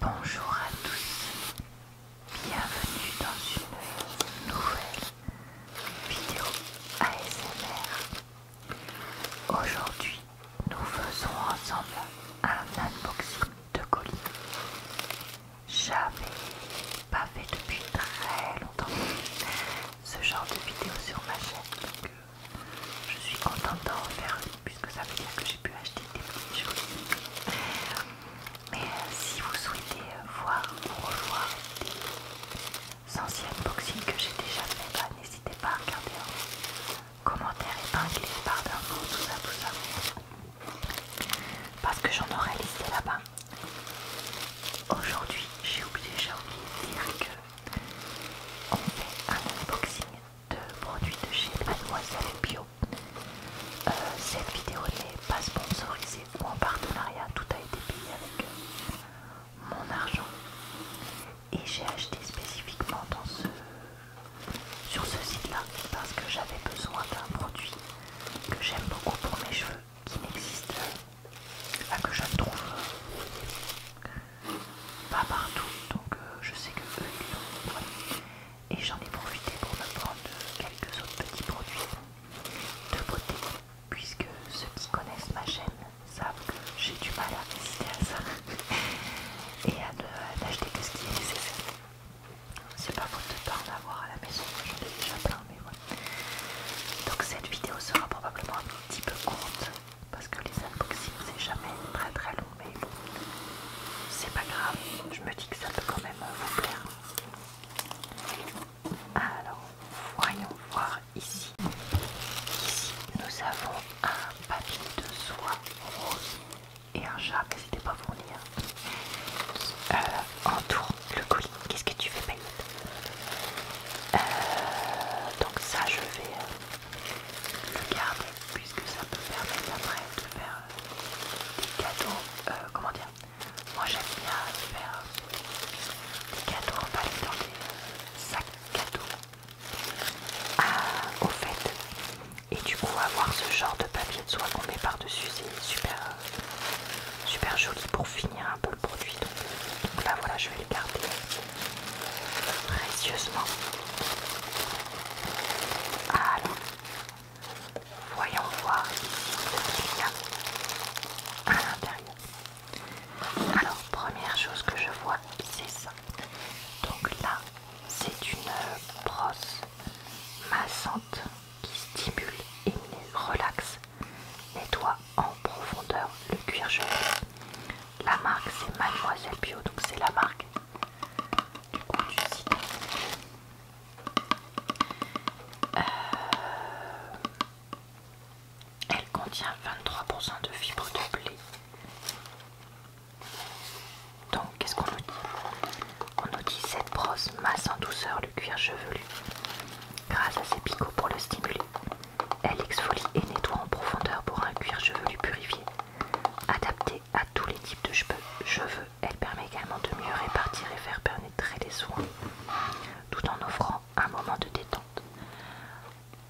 Bonjour à tous, bienvenue dans une nouvelle vidéo ASMR. Aujourd'hui, nous faisons ensemble un unboxing de colis. J'avais pas fait depuis très longtemps ce genre de vidéo sur ma chaîne, donc euh, je suis contente d'en faire une puisque ça veut dire que j'ai pu acheter des petites choses. Mais euh, si vous souhaitez voir ou revoir des anciens unboxing que j'ai déjà fait, bah, n'hésitez pas à regarder en commentaire épinglé par d'infos, tout ça, tout ça. Parce que j'en aurais listé là-bas. Aujourd'hui, j'ai oublié, j'ai oublié de dire que on fait un unboxing de produits de chez Mademoiselle Bio. Euh, cette vidéo n'est pas sponsorisée ou en partenariat, tout a été payé avec euh, mon argent. Et j'ai acheté spécifiquement dans ce, sur ce site-là parce que j'avais besoin d'un produit que j'aime beaucoup pour mes cheveux qui n'existe, pas, que je ne trouve pas partout, donc euh, je sais que eux Et j'en ai profité pour me prendre quelques autres petits produits de beauté, puisque ceux qui connaissent ma chaîne savent que j'ai du mal à résister à ça et à n'acheter que ce qui est nécessaire. C'est pas faute de pas en avoir à la maison, j'en ai déjà plein, mais voilà. Donc cette vidéo sera probablement un petit peu courte parce que les unboxings c'est jamais très très long mais c'est pas grave je me dis que ça peut quand même vous plaire alors voyons voir ici ici nous avons un papier de soie rose et un chat c'était pas fourni fournir. Euh, entoure le colis qu'est-ce que tu fais Payet euh, donc ça je vais euh, le garde puisque ça peut permettre après de faire euh, des cadeaux, euh, comment dire, moi j'aime bien faire des cadeaux emballés dans des euh, sacs cadeaux au fait et du coup avoir ce genre de papier de soie qu'on met par dessus c'est super, super joli pour finir un peu le produit donc, là voilà je vais le garder précieusement alors, voyons voir ce qu'il y a à l'intérieur. Alors, première chose que je vois, c'est ça. Donc là, c'est une euh, brosse massante qui stimule et relaxe, nettoie en profondeur le cuir gelé. La marque c'est Mademoiselle Bio, donc c'est la marque euh, elle contient 23% de fibres de blé. Donc, qu'est-ce qu'on nous dit On nous dit cette brosse masse en douceur le cuir chevelu. Grâce à ses picots pour le stimuler, elle exfolie et nettoie en profondeur pour un cuir chevelu purifié, adapté à tous les types de cheveux. Elle permet également de mieux répartir et faire pénétrer les soins, tout en offrant un moment de détente.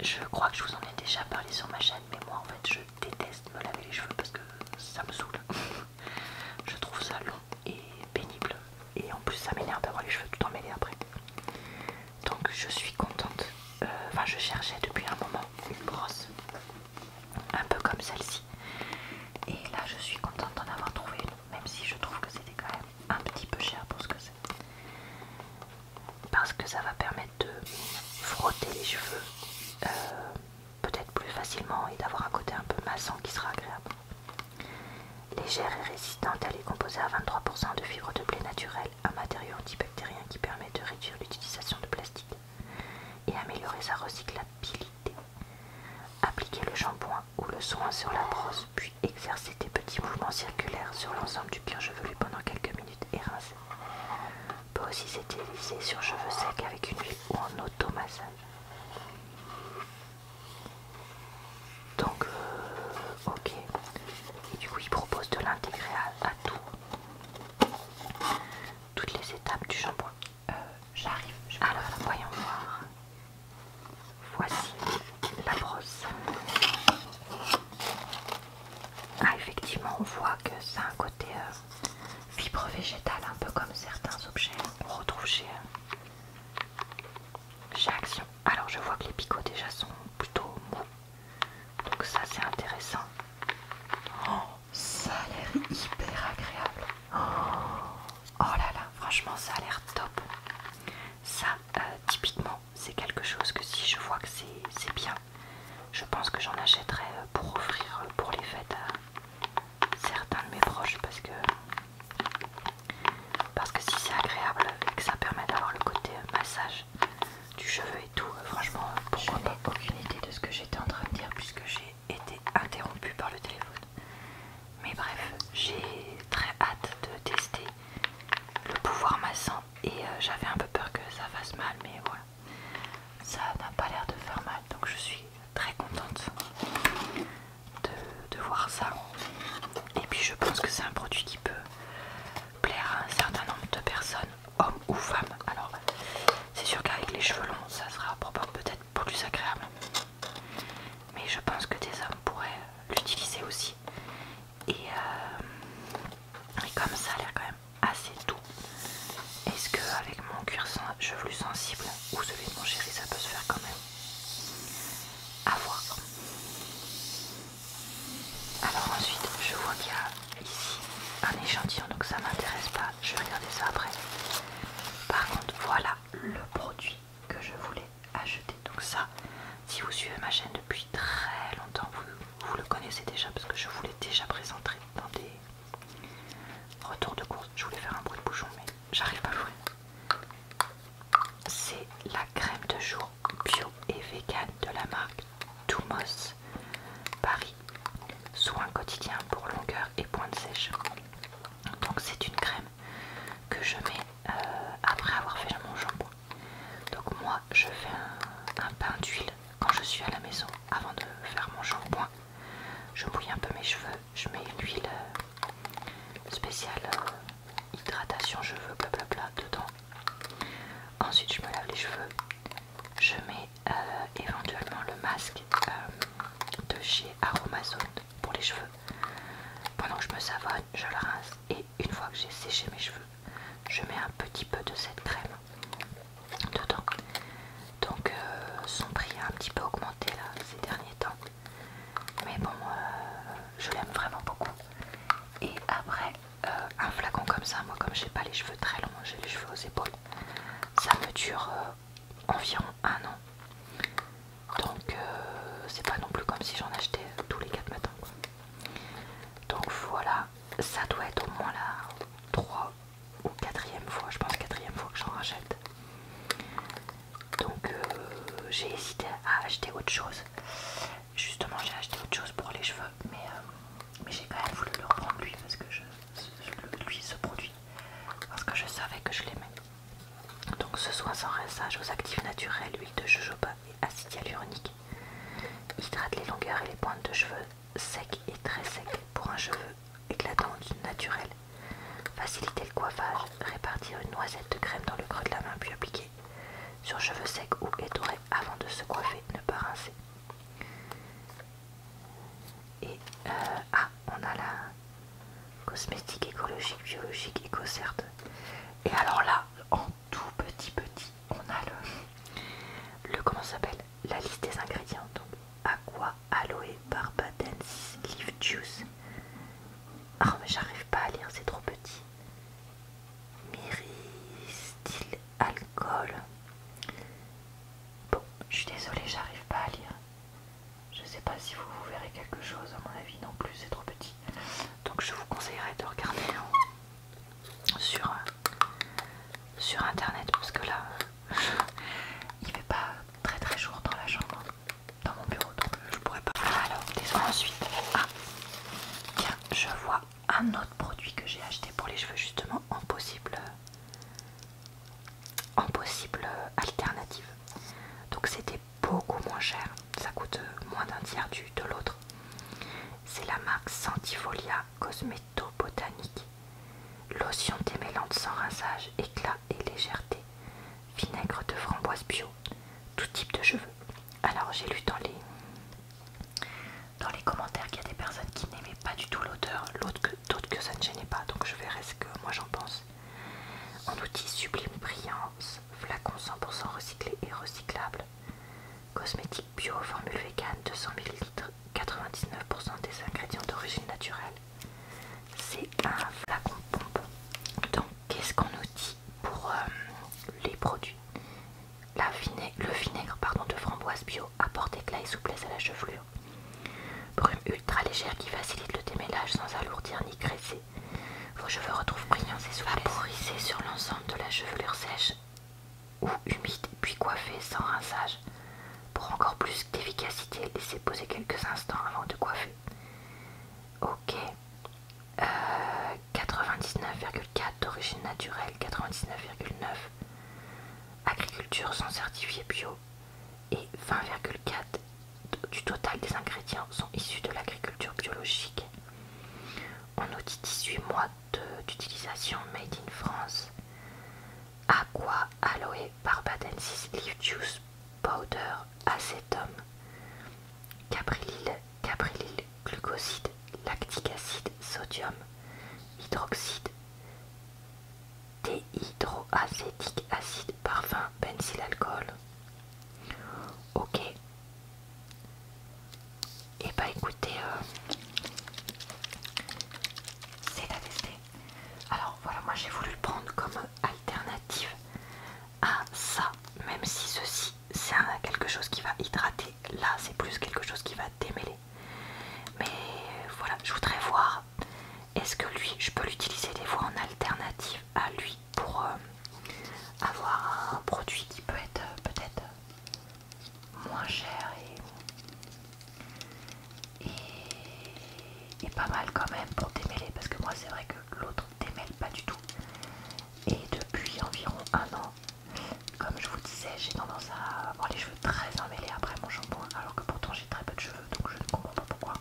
Je crois que je vous en ai déjà parlé sur ma chaîne, mais moi en fait je déteste me laver les cheveux parce que ça me saoule. je trouve ça long et pénible, et en plus ça m'énerve d'avoir les cheveux tout emmêlés après. Donc je suis contente, euh, enfin je cherchais depuis un moment une brosse un peu comme celle-ci. Et là, je suis contente d'en avoir trouvé même si je trouve que c'était quand même un petit peu cher pour ce que c'est. Parce que ça va permettre de frotter les cheveux euh, peut-être plus facilement et d'avoir un côté un peu massant qui sera agréable. Légère et résistante, elle est composée à 23% de fibres de blé naturel, un matériau antibactérien qui permet de réduire l'utilisation de plastique et améliorer sa recyclabilité. Appliquer le shampoing ou le soin sur la brosse, puis exercer des petits mouvements circulaires sur l'ensemble du cuir chevelu pendant quelques minutes et rincer. Peut aussi s'utiliser sur cheveux secs avec une huile ou en automassage. Donc, euh, ok. Et du coup, il propose de l'intégrer à tout toutes les étapes du shampoing. Euh, j'arrive. Alors, voyons voir. Voici la brosse. Ah, effectivement, on voit que ça a un côté euh, fibre végétale, un peu comme certains objets qu'on retrouve euh, Action. Alors, je vois que les picots déjà sont plutôt mous. Donc ça c'est intéressant. Oh, ça a l'air hyper agréable. Oh, oh, là là, franchement ça a l'air top. Ça, euh, typiquement, c'est quelque chose que si je vois que c'est bien, je pense que j'en achèterai euh, pour offrir euh, pour les fêtes à certains de mes proches parce que parce que si c'est agréable et que ça permet d'avoir le côté massage du cheveu et tout. Euh, franchement, pourquoi je n'ai aucune idée de ce que j'étais en train de dire puisque j'ai été interrompue par le téléphone. Mais bref, j'ai très hâte de tester le pouvoir massant et euh, j'avais un peu peur que ça fasse mal, mais voilà. Ça n'a pas l'air de faire mal, donc je suis très contente de voir ça. Et puis je pense que c'est un produit qui peut plaire à un certain nombre de personnes homme ou femme. Alors, c'est sûr qu'avec les cheveux longs, ça sera peut-être plus agréable. Mais je pense que des hommes pourraient l'utiliser aussi. Euh, et, comme ça a l'air quand même assez doux. Est-ce que avec mon cuir chevelu sensible ou celui de mon chéri ça peut se faire quand même à voir. Alors ensuite je vois qu'il y a ici un échantillon, donc ça m'intéresse pas, je vais regarder ça après. Par contre, voilà le produit que je voulais acheter. Donc ça, si vous suivez ma chaîne depuis très longtemps, vous, le connaissez déjà parce que je vous l'ai déjà présenté dans des retours de course. Je voulais faire un bruit de bouchon, mais j'arrive pas à ouvrir. C'est la crème de jour bio et vegan de la marque moss Paris, soin quotidien pour longueur et pointe sèche. Donc c'est une crème que je mets euh, après avoir fait mon shampoing. Donc moi je fais un, pain d'huile quand je suis à la maison avant de faire mon shampoing. Je mouille un peu mes cheveux, je mets huile euh, spéciale euh, hydratation cheveux blablabla dedans. Ensuite je me lave les cheveux, je mets euh, éventuellement le masque euh, de chez Aromazone pour les cheveux. Pendant que je me savonne, je le rince et une fois que j'ai séché mes cheveux, je mets un petit peu de cette crème dedans. Donc euh, son prix a un petit peu augmenté ces derniers temps. Mais bon, je l'aime vraiment beaucoup. Et après, euh, un flacon comme ça, moi comme j'ai pas les cheveux très longs, j'ai les cheveux aux épaules, ça me dure euh, environ un an. Donc euh, c'est pas non plus comme si j'en achetais tous les quatre matins. Donc voilà, ça doit être au moins la 3 ou 4 fois, je pense 4 fois que j'en rachète. Donc j'ai hésité à acheter autre chose. Justement j'ai acheté autre chose pour les cheveux, mais mais j'ai quand même voulu le reprendre lui parce que je, lui ce parce que je savais que je l'aimais. Donc ce soin sans rinçage aux actifs naturels, huile de jojoba et acide hyaluronique hydrate les longueurs et les pointes de cheveux secs et très secs pour un cheveu éclatant naturel. Faciliter le coiffage, répartir une noisette de crème dans le creux de la main puis appliquer sur cheveux secs ou étourés avant de se coiffer, ne pas rincer. Et euh, ah, on a la cosmétique écologique, biologique, écocerte. Et alors là, en tout petit petit, on a le, le comment s'appelle La liste des ingrédients. Donc aqua, aloe, barbadensis, leaf juice. Ah mais j'arrive pas à lire, c'est trop petit. Myristil alcool. Bon, je suis désolée, j'arrive pas à lire. Je sais pas si vous, vous verrez quelque chose, à mon avis non plus, c'est trop petit. Donc je vous conseillerais de regarder sur, euh, sur internet parce que là, il fait pas très très jour dans la chambre, dans mon bureau, donc je pourrais pas. Alors, désolé ensuite. Ah, tiens, je vois un autre produit que j'ai acheté pour les cheveux justement en possible en possible alternative donc c'était beaucoup moins cher ça coûte moins d'un tiers du, de l'autre c'est la marque Santifolia cosméto Botanique lotion démêlante sans rinçage éclat et légèreté vinaigre de framboise bio tout type de cheveux alors j'ai lu dans les dans les commentaires il y a des personnes qui n'aimaient pas du tout l'odeur, l'autre que, d'autres que ça ne gênait pas. Donc je verrai ce que moi j'en pense. En outil sublime brillance, flacon 100% recyclé et recyclable. Cosmétique bio, formule vegan, 200 ml, 99% des ingrédients d'origine naturelle. C'est un flacon pompe. Donc qu'est-ce qu'on nous dit pour euh, les produits le vinaigre de framboise bio apporte éclat et souplesse à la chevelure. Brume ultra légère qui facilite le démêlage sans alourdir ni graisser. Vos cheveux retrouvent brillance et souplesse. Vaporisez sur l'ensemble de la chevelure sèche ou humide puis coiffez sans rinçage. Pour encore plus d'efficacité, laissez poser quelques instants avant de coiffer. Ok. 99,4 euh, d'origine naturelle, 99,9 agriculture sans certifiés bio et 20,4 du total des ingrédients sont issus de l'agriculture biologique. On nous dit 18 mois d'utilisation made in France. Aqua, aloe, barbadensis, leaf juice, powder, acetum, caprilil, caprilil glucoside, lactique acide, sodium, hydroxyde, déhydroacétique acide, parfum, benzyl, alcool. Ok. Et eh bah ben, écoutez, euh, c'est à tester. Alors voilà, moi j'ai voulu le prendre comme alternative à ça, même si ceci c'est quelque chose qui va hydrater. Là, c'est plus quelque chose qui va démêler. Mais voilà, je voudrais voir est-ce que lui, je peux l'utiliser des fois en alternative à lui pour euh, avoir un produit qui peut être euh, peut-être euh, moins cher et, et pas mal quand même pour démêler parce que moi c'est vrai que l'autre démêle pas du tout et depuis environ un an comme je vous disais, j'ai tendance à avoir les cheveux très emmêlés après mon shampoing, alors que pourtant j'ai très peu de cheveux, donc je ne comprends pas pourquoi.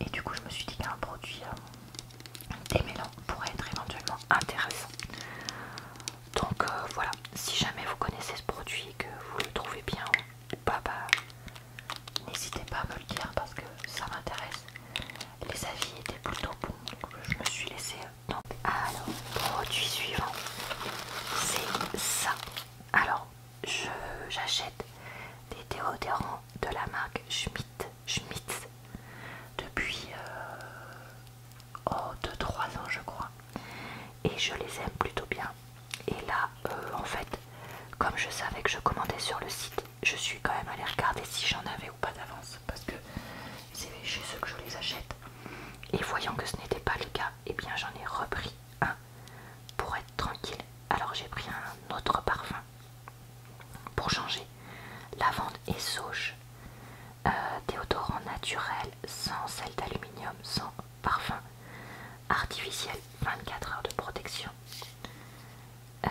Et du coup, je me suis dit qu'un produit euh, démêlant pourrait être éventuellement intéressant. Donc euh, voilà, si jamais vous connaissez ce produit et que vous le trouvez bien ou pas, bah, n'hésitez pas à me le dire parce que ça m'intéresse. Les avis étaient plutôt bons, donc je me suis laissée euh, donc alors produit suivant c'est ça alors j'achète des déodorants de la marque Schmitz Schmidt depuis 2-3 euh, ans je crois et je les aime plutôt bien et là euh, en fait comme je savais que je commandais sur le site je suis quand même allée regarder si j'en avais ou pas d'avance parce que c'est chez ceux que je les achète. Et voyant que ce n'était pas le cas, et eh bien j'en ai repris un pour être tranquille. Alors j'ai pris un autre parfum pour changer. Lavande et sauge, euh, Des odorants naturel sans sel d'aluminium, sans parfum artificiel, 24 heures de protection. Euh,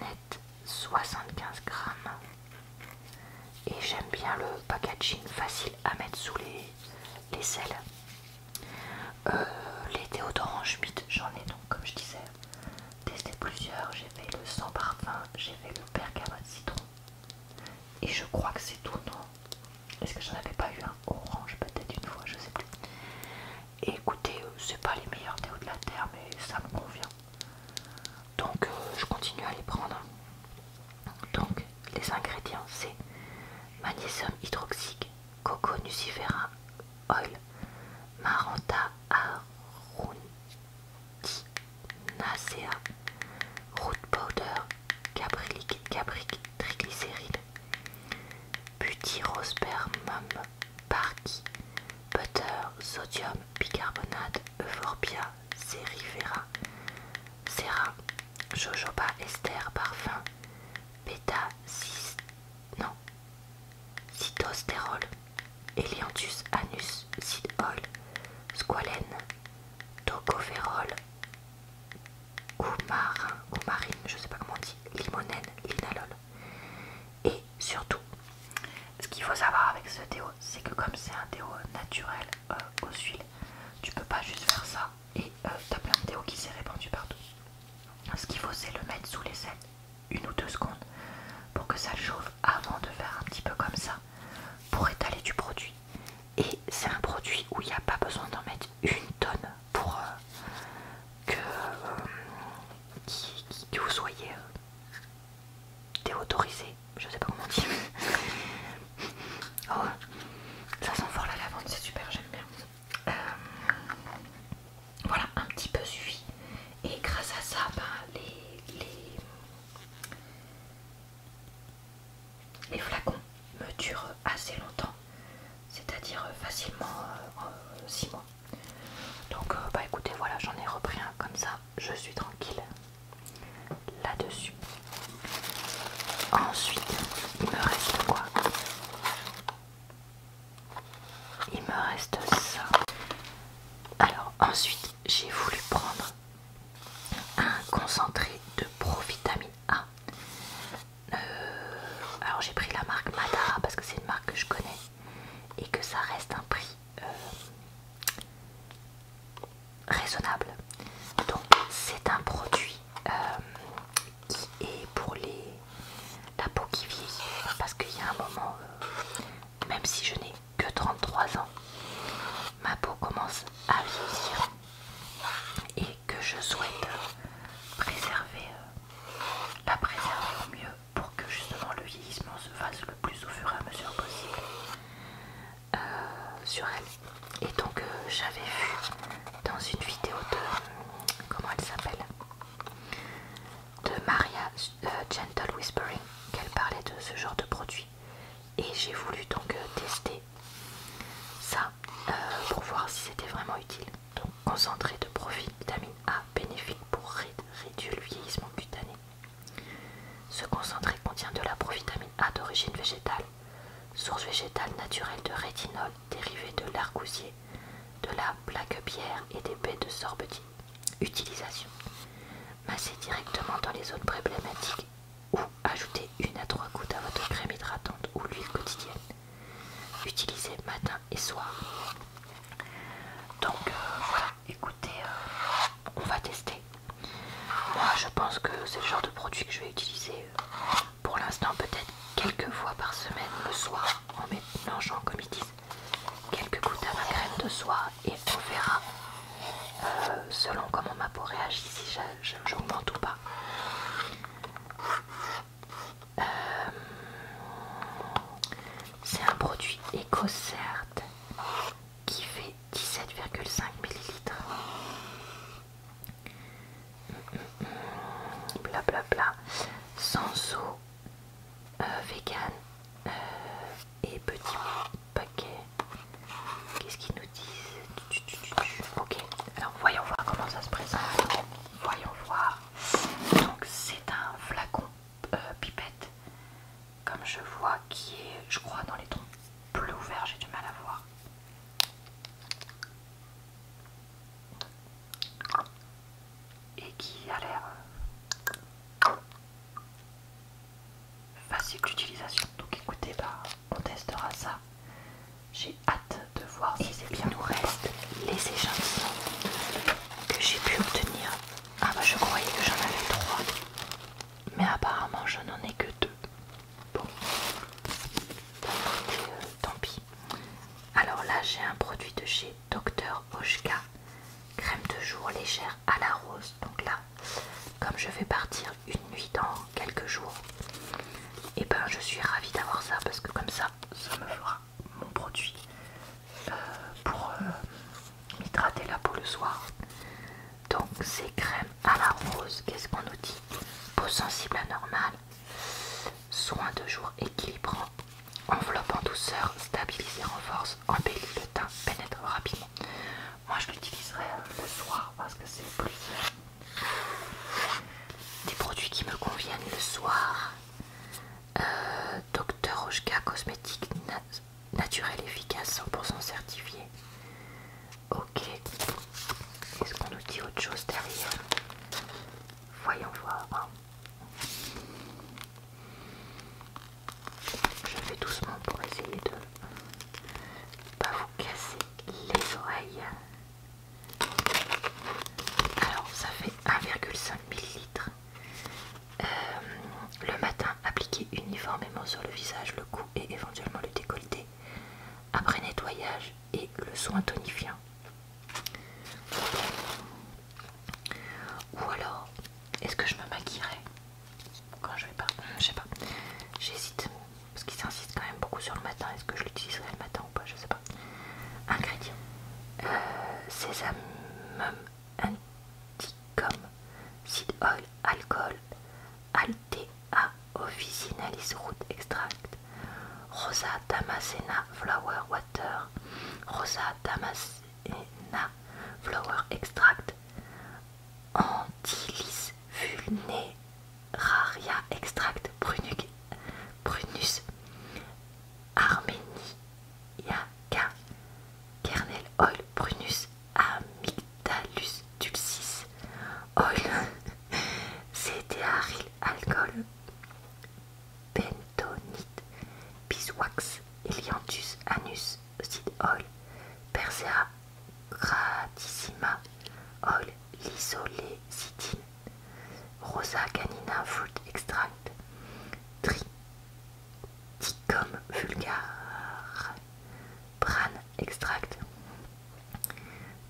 net 75 grammes et j'aime bien le packaging facile à mettre sous les, les selles. Les euh, les déodorants j'en ai donc, comme je disais, testé plusieurs. J'ai fait le sans parfum, j'ai fait le de citron. Et je crois que c'est tout, non Est-ce que j'en avais pas eu un orange peut-être une fois, je sais plus. Écoutez, écoutez, euh, c'est pas les meilleurs théos de la terre, mais ça me convient. Donc euh, je continue à les prendre. Donc les ingrédients c'est magnésium hydroxique, coco nucifera oil, maranta arundinacea, root powder, caprylic cabric triglycéride, butyrospermum, parki, butter, sodium bicarbonate, Euphorbia, Cerifera, Serra, Jojoba Esther Parfum, Beta, Cis, non, Cytosterol, Elianthus Anus, Cidol Squalene, Tocopherol, Coumarin, coumarine, je sais pas comment on dit, limonène, linalol. Et surtout, ce qu'il faut savoir avec ce théo, c'est que comme c'est un déo naturel, euh, aux Tu peux pas juste faire ça et ta t'as plein de théo qui s'est répandu partout. Ce qu'il faut, c'est le mettre sous les ailes une ou deux secondes pour que ça chauffe avant de faire un petit peu comme ça pour étaler du produit. Et c'est un produit où il n'y a pas besoin d'en mettre une tonne pour euh, euh, que, vous soyez Déautorisé je sais pas comment dire oh, ça sent fort la lavande, c'est super, j'aime bien. Euh, voilà, un petit peu suffit. Et grâce à ça, ben, les, les, flacons me durent assez longtemps, c'est-à-dire facilement 6 euh, mois. Donc, euh, bah écoutez, voilà, j'en ai repris un comme ça je suis tranquille là-dessus. Ensuite, il me reste quoi Il me reste ça. Alors ensuite, j'ai voulu prendre un concentré de provitamine A. Euh, alors j'ai pris la marque Madara parce que c'est une marque que je connais et que ça reste un prix euh, raisonnable. Donc c'est un produit euh, qui est pour les la peau qui vieillit parce qu'il y a un moment, euh, même si je n'ai que 33 ans, ma peau commence à vieillir et que je souhaite préserver, euh, la préserver au mieux pour que justement le vieillissement se fasse le plus au fur et à mesure possible. Euh, sur elle. Et donc euh, j'avais vu dans une vidéo de comment elle s'appelle de Maria euh, Gentle Whispering qu'elle parlait de ce genre de produit. Et j'ai voulu donc tester ça pour voir si c'était vraiment utile. Donc concentré de profil vitamine A bénéfique pour réduire le vieillissement cutané. Ce concentré contient de la provitamine A d'origine végétale, source végétale naturelle de rétinol dérivé de l'argousier, de la bière et des baies de sorbetine. Utilisation Massez directement dans les zones problématiques ou ajoutez une à trois gouttes à votre crème hydratante ou l'huile quotidienne. Utilisez matin et soir. Donc euh, voilà, écoutez, euh, on va tester. Moi, je pense que c'est le genre de produit que je vais utiliser euh, pour l'instant, peut-être quelques fois par semaine le soir, en mélangeant, comme ils disent, quelques gouttes à ma crème de soie et on verra euh, selon comment ma peau réagit, si j'augmente ou pas. c'est un produit éco certes qui fait 17,5 millilitres. Mm, mm, mm. bla Bla bla. Sans eau, euh, vegan euh, et petit paquet. Qu'est-ce qu'ils nous disent Ok, alors voyons voir comment ça se présente. Voyons voir. Donc c'est un flacon euh, pipette comme je vois, qui est, je crois, dans les tons plus ouverts, j'ai du mal à voir. Et qui a l'air euh, facile d'utilisation. Donc écoutez, bah, on testera ça. J'ai hâte de voir si c'est bien. nous reste les échantillons que j'ai pu obtenir. Ah bah je croyais que j'en avais trois mais apparemment je n'en ai que deux. Bon, euh, tant pis. Alors là, j'ai un produit de chez Dr. Oshka, crème de jour légère à la rose. Donc là, comme je vais partir une nuit dans quelques jours, et eh ben je suis ravie d'avoir ça parce que comme ça, ça me fera mon produit euh, pour, euh, hydrater la peau le soir. Donc c'est crème à la rose, qu'est-ce qu'on nous dit Peau sensible à normale, soin de jour équilibrant, enveloppe en douceur, et renforce, embellit le teint, pénètre rapidement. Moi je l'utiliserai le soir parce que c'est le plus des produits qui me conviennent le soir. Euh, docteur Cosmetics Cosmétique Naturel efficace efficace 100% certifié ok est-ce qu'on nous dit autre chose derrière voyons voir hein. je fais doucement pour essayer de pas vous casser les oreilles alors ça fait 1,5 ml euh, le matin, appliquer uniformément sur le visage, le cou et éventuellement le décolleté. Après nettoyage et le soin tonifiant. Ou alors, est-ce que je me maquillerai quand je vais pas hmm, Je sais pas. J'hésite parce qu'il s'insiste quand même beaucoup sur le matin. Est-ce que je l'utiliserai le matin ou pas Je sais pas. Ingrédients euh, sésame, Anticom, Seed Oil, alcohol, Altea, Officinalis Root Extract, Rosa Damascena Flower Water, Rosa Damascena Flower Extract, Antilis Vulneraria Extract, Brunus, Armenia, Kernel Oil, Brunus, Amygdalus dulcis, oil, cédéaryl alcohol, bentonite, biswax, helianthus anus, seed oil, persea gratissima, oil, lysolecitine, rosa canina fruit extract, tri dit Vulgar vulgare, prane extract,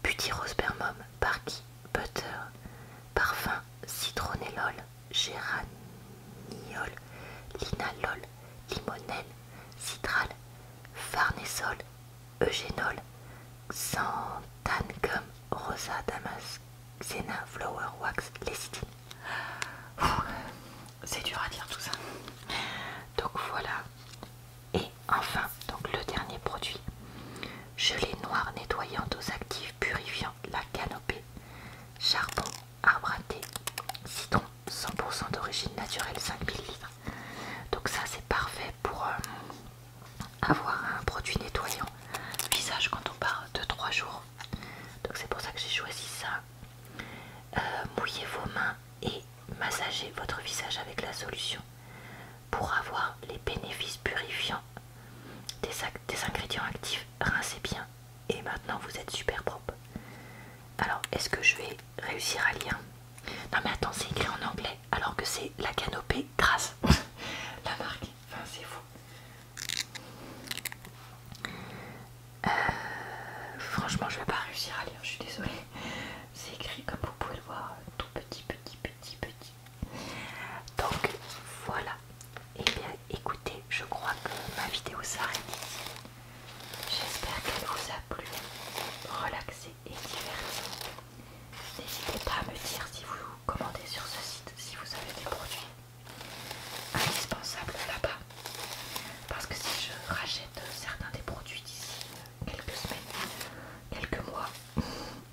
butyrospermum, parki, butter, parfum, citronellol, géraniol, linalol, limonène, citral, farnesol, eugénol, Gum rosa damascena, flower wax, Lestin c'est dur à dire tout ça. Donc voilà. Et enfin, donc le dernier produit, gelée noir nettoyante aux actifs purifiant la canopée, charbon, arbre à thé, citron 100% d'origine naturelle 5000 livres Donc ça c'est parfait pour euh, avoir un produit nettoyant visage quand on part de 3 jours. Donc c'est pour ça que j'ai choisi ça. Euh, mouillez vos mains et massagez votre visage avec la solution pour avoir les bénéfices purifiants des, ingrédients actifs. Rincez bien et maintenant vous êtes super propre. Alors, est-ce que je vais réussir à lire Non mais attends, c'est écrit en anglais alors que c'est la canopée grasse. la marque, enfin c'est fou. Euh, franchement, je vais pas réussir à lire, je suis désolée. C'est écrit comme vous pouvez le voir, tout petit, petit, petit, petit. Donc voilà. Et eh bien écoutez, je crois que ma vidéo s'arrête ici. J'espère qu'elle vous a plu, relaxée et divertie. N'hésitez pas à me dire si vous commandez sur ce site, si vous avez des produits indispensables là-bas. Parce que si je rachète certains des produits d'ici quelques semaines, quelques mois, et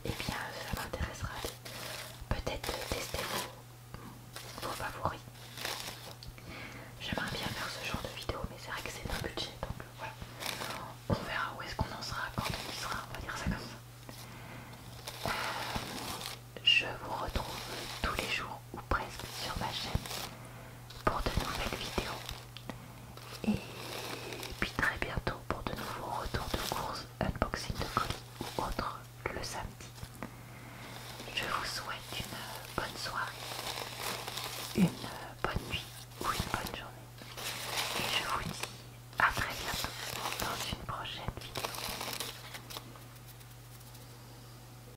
eh bien ça m'intéressera peut-être tester vos, favoris. J'aimerais bien faire ce genre de vidéo, mais c'est vrai que c'est un budget, donc euh, voilà. On verra où est-ce qu'on en sera quand on y sera, on va dire ça comme ça. Euh, je vous retrouve tous les jours ou presque sur ma chaîne pour de nouvelles vidéos. Et puis très bientôt pour de nouveaux retours de courses, unboxing de colis ou autres le samedi. Je vous souhaite une bonne soirée, une bonne nuit ou une bonne journée. Et je vous dis à très bientôt dans une prochaine vidéo.